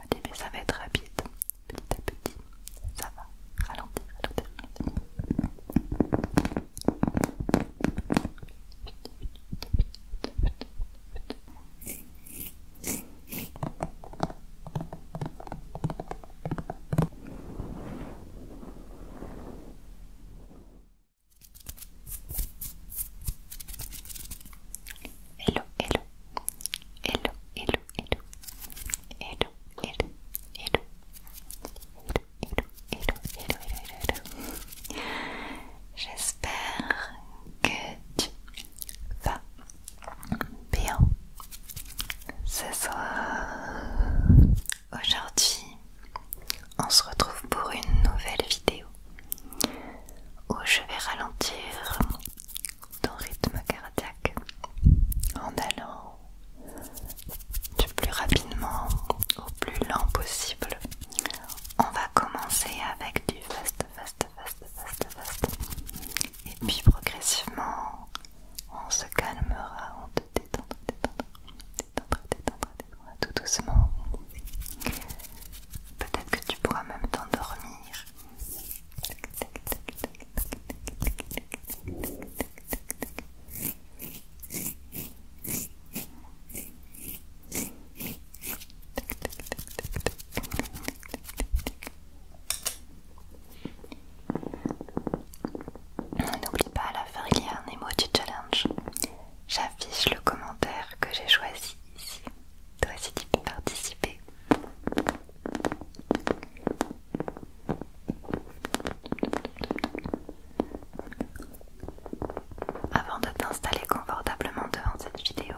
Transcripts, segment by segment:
Allez, ça va être rapide. Petit à petit, ça va. Ralentir, ralentir, ralentir. Hello, hello, hello, hello, hello, hello, hello, hello, hello, hello, hello, hello, hello, J'espère que tu vas bien ce soir. Aujourd'hui, on se retrouve pour une nouvelle vidéo où je vais ralentir ton rythme cardiaque en allant du plus rapidement au plus lent possible. On va commencer avec du fast, fast, fast, fast, fast. Et puis progressivement, on se calmera, on te détendra, détendra, détendra, détendra, tout doucement. Peut-être que tu pourras même t'endormir N'oublie pas à la fin il y a un challenge. J'affiche le commentaire que j'ai choisi ici toi aussi tu participer. Avant de t'installer confortablement devant cette vidéo,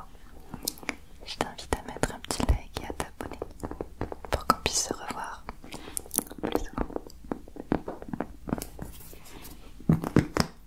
je t'invite à mettre un petit like et à t'abonner pour qu'on puisse se revoir plus souvent.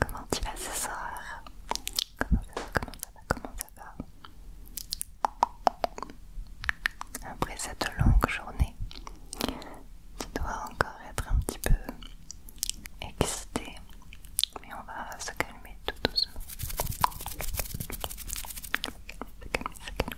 Comment tu vas ce soir Comment ça va Comment ça va Comment ça va Après cette longue journée, tu dois encore être un petit peu excité, mais on va se calmer tout doucement.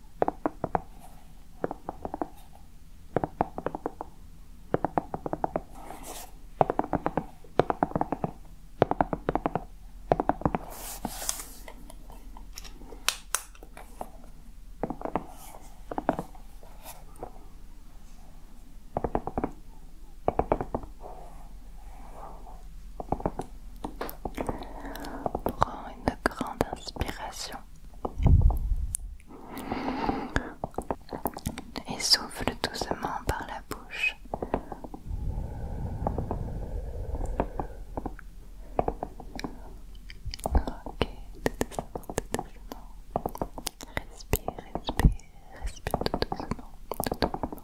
Prends une grande inspiration et souffle doucement par la bouche. Ok, tout doucement, tout doucement. Respire, respire, respire tout doucement. Tout doucement.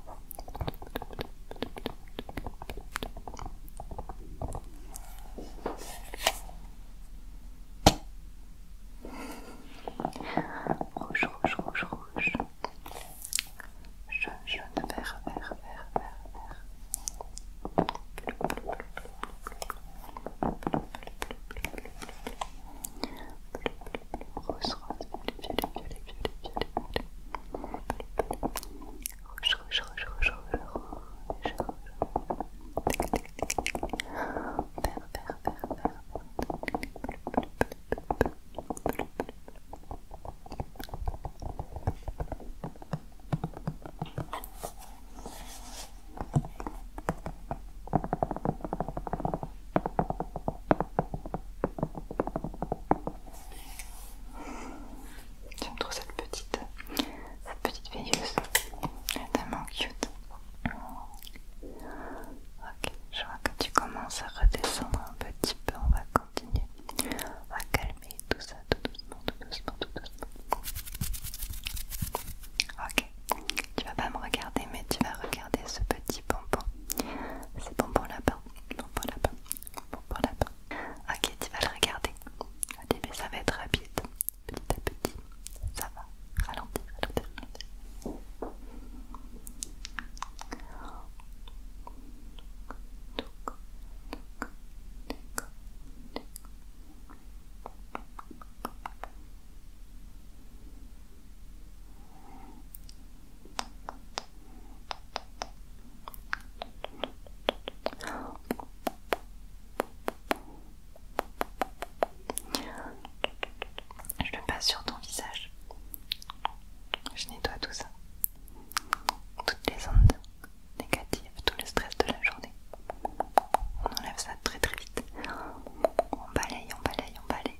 Rouge, rouge, rouge, rouge. Jaune, jaune, vert, vert, vert, vert, vert. Rose, rose, rouge, rouge, rouge, J'aime trop cette petite, cette petite veilleuse. Elle est tellement cute. Ok, je vois que tu commences à redescendre un petit peu. On va continuer. On va calmer tout ça tout doucement, tout doucement, tout doucement. Ok, tu vas pas me regarder, mais tu vas regarder ce petit bonbon. C'est bonbon lapin, bonbon lapin, bonbon lapin. Ok, tu vas le regarder. Allez, mais ça va être rapide. Petit à petit, ça va. Ralentir, ralentir, ralentir. Je le passe sur ton visage. Je nettoie tout ça. Toutes les ondes négatives, tout le stress de la journée. On enlève ça très très vite. On balaye, on balaye, on balaye.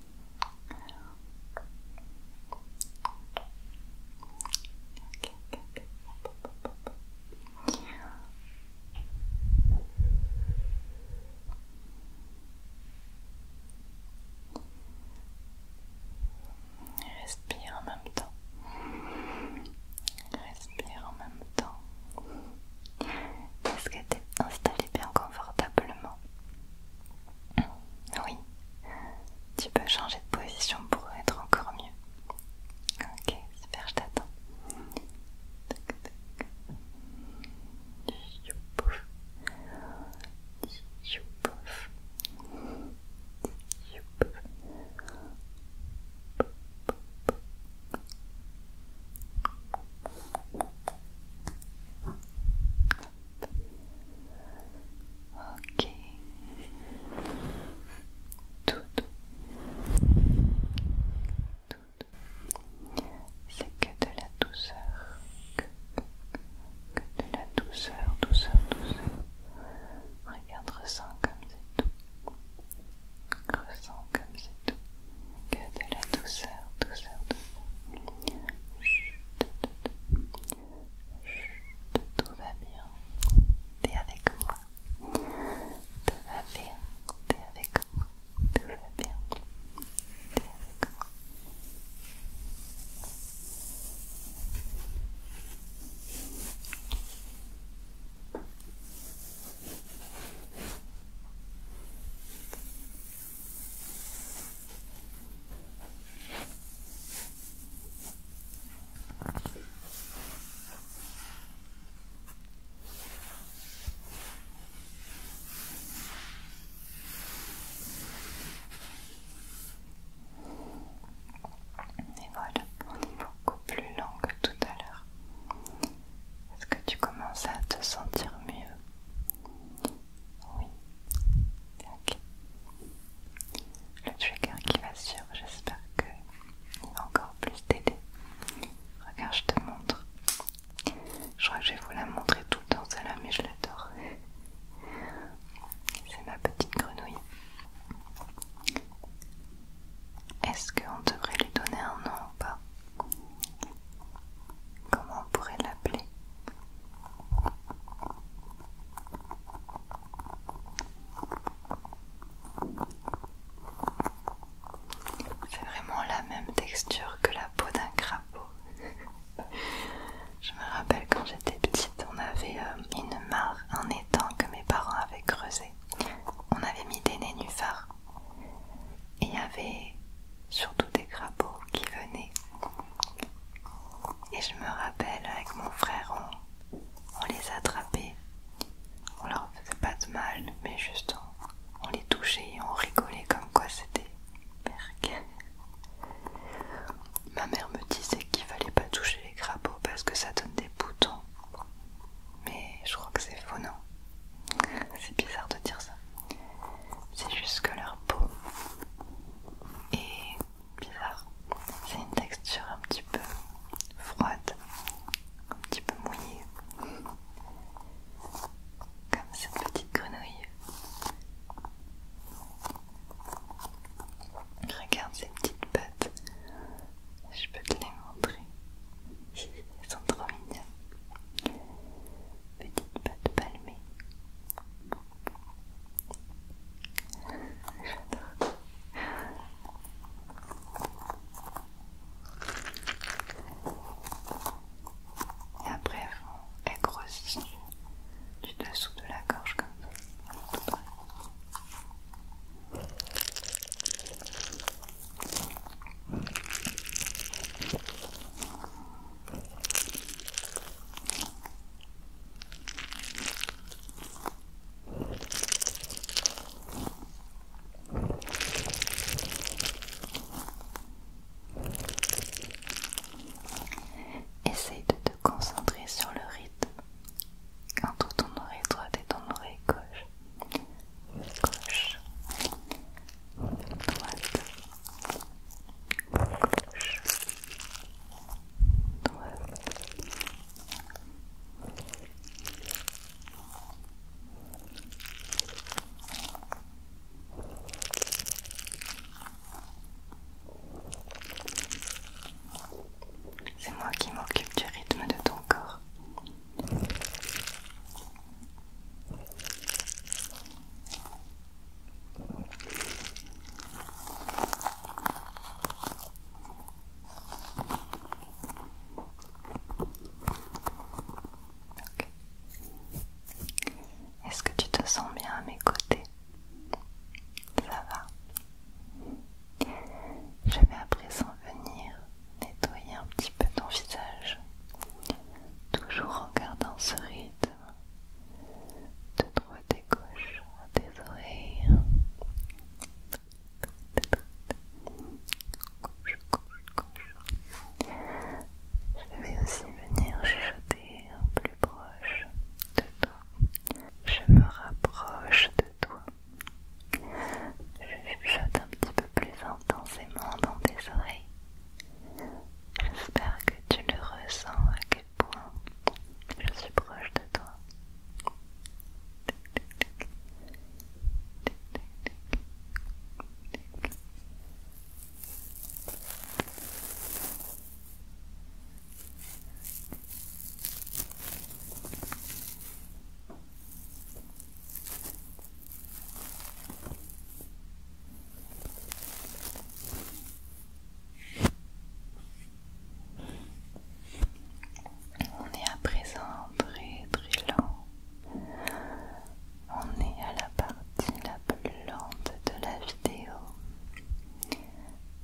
Respire en même temps. Respire en même temps. Est-ce que tu installé bien confortablement oui, tu peux changer de position pour être encore mieux. Ok, super, je t'attends. Ok. Tout. Tout. C'est que de la douceur. Que, de la douceur, douceur, douceur. Regarde, ressens comme c'est tout. Ressens comme c'est tout. Que de la douceur, douceur, douceur tout va bien. T'es avec moi. Tout va bien. T'es avec moi. Tout va bien. T'es avec moi. Et voilà, on est beaucoup plus lent que tout à l'heure. Est-ce que tu commences à te sentir mieux oui. Le trigger qui va sur, j'espère que va encore plus t'aider. Regarde, je te montre. Je crois que je vais vous la montrer tout le temps là mais je l'adore. C'est ma petite grenouille. Est-ce qu'on devrait lui donner un nom ou pas Comment on pourrait l'appeler C'est vraiment la même texture que la peau d'un crapaud. Je me rappelle quand j'étais petite, on avait euh, une mare, un étang que mes parents avaient creusé. On avait mis des nénuphars. Et il y avait surtout des crapauds qui venaient. Et je me rappelle, avec mon frère, on, les attrapait. On leur faisait pas de mal, mais juste on, les touchait et on rigolait comme quoi c'était Ma mère me disait qu'il fallait pas toucher les crapauds parce que ça donne des boutons. Mais je crois que c'est faux, non C'est bizarre de dire ça c'est juste que leur peau est bizarre. C'est une texture un petit peu froide, un petit peu mouillée, comme cette petite grenouille. Regarde ces petites pattes, je peux te les montrer. Elles sont trop mignonnes petite pâte palmée. J'adore. Et après, elle grossit du dessous de la gorge comme ça. Essaye de te concentrer sur le rythme entre ton oreille droite et ton oreille gauche. Gauche. C'est moi qui m'occupe du rythme de ton corps. Est-ce que tu te sens bien à mes côtés Ça va. Je vais à présent venir nettoyer un petit peu ton visage, toujours en gardant ce rythme de droite et gauche à tes oreilles. Gauche, gauche, Je vais aussi venir chuchoter plus proche de toi. Je me rapproche de toi. Je chuchote un petit peu plus intensément dans tes oreilles. J'espère que tu le ressens à quel point je suis proche de toi. On est à présent très très lent. On est à la partie la plus lente de la vidéo.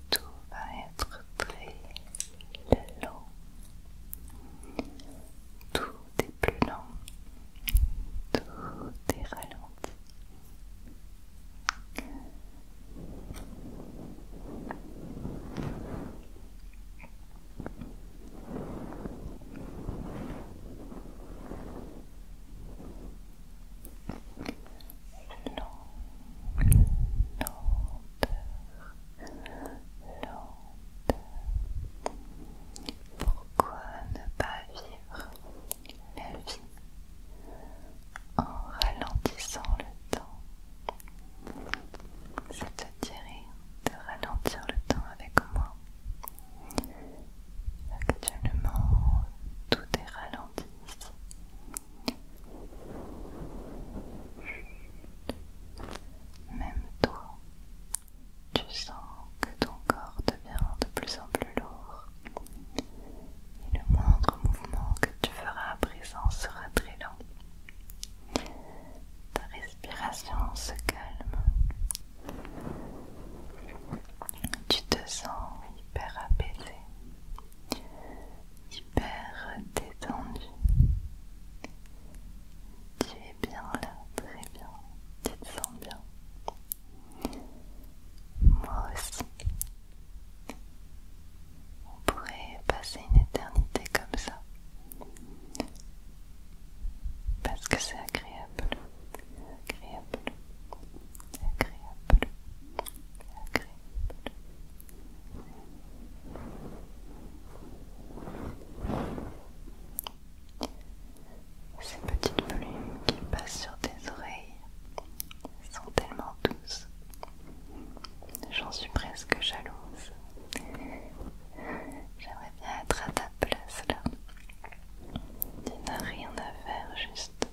Tout va être très lent. Tout tout est plus lent, tout est ralenti. Lent, lenteur, lenteur. Pourquoi ne pas vivre la vie en ralentissant le temps. cest te de ralentir le temps avec moi Actuellement, tout est ralenti ici. Même toi, tu sens que ton corps devient de plus en plus lourd et le moindre mouvement que tu feras à présent sera très lent. Ta respiration se calme. Tu te sens hyper apaisé, hyper détendu. Tu es bien là, très bien, tu te sens bien. Moi aussi. On pourrait passer une éternité comme ça. Parce que c'est agréable. Agréable. Agréable. Agréable. Ces petites plumes qui passent sur tes oreilles sont tellement douces. J'en suis presque jalouse. J'aimerais bien être à ta place là. Tu n'as rien à faire, juste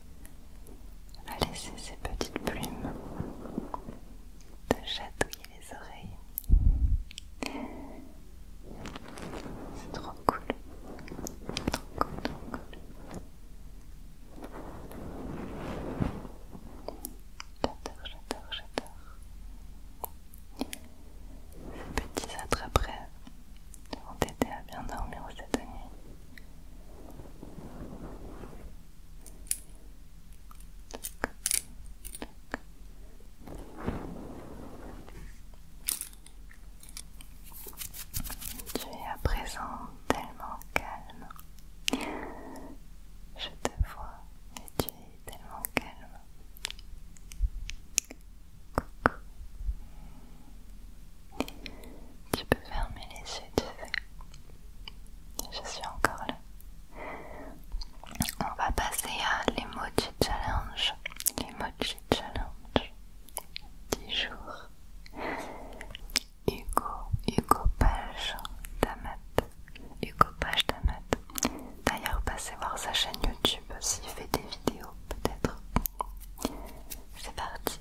à laisser ces petites plumes te chatouiller les oreilles. C'est trop cool. Trop cool, trop cool. J'adore, j'adore, j'adore. Ces petits attraperies vont t'aider à bien dormir cette nuit. Tu es à présent tellement calme. Je te vois et tu es tellement calme. Coucou. Tu peux fermer les yeux, tu sais. Je suis encore là. On va passer à les challenge. Les challenge 10 jours Hugo, Hugo Page Damat Hugo Page Damat d'ailleurs passez voir sa chaîne YouTube s'il fait des vidéos peut-être c'est parti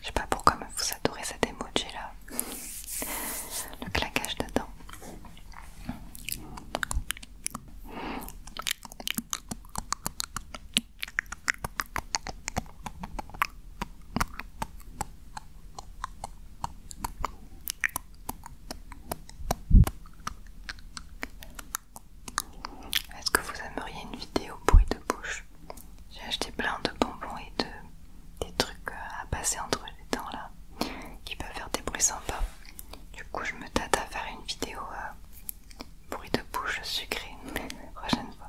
Je sais pas pourquoi vous adorez cet emoji là. Le claquage de dents. Est-ce que vous aimeriez une vidéo bruit de bouche J'ai acheté plein de bonbons et des trucs euh, à passer entre les dents là, qui peuvent faire des bruits sympas. Du coup, je me tâte à faire une vidéo euh, bruit de bouche sucrée la prochaine fois.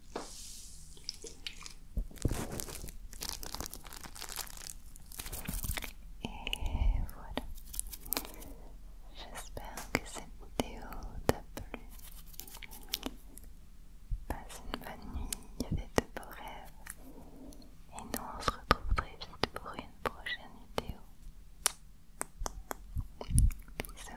Et voilà. J'espère que cette vidéo t'a plu. Passe une bonne nuit avec de beaux rêves. Et nous on se retrouve très vite pour une prochaine vidéo. Bisous.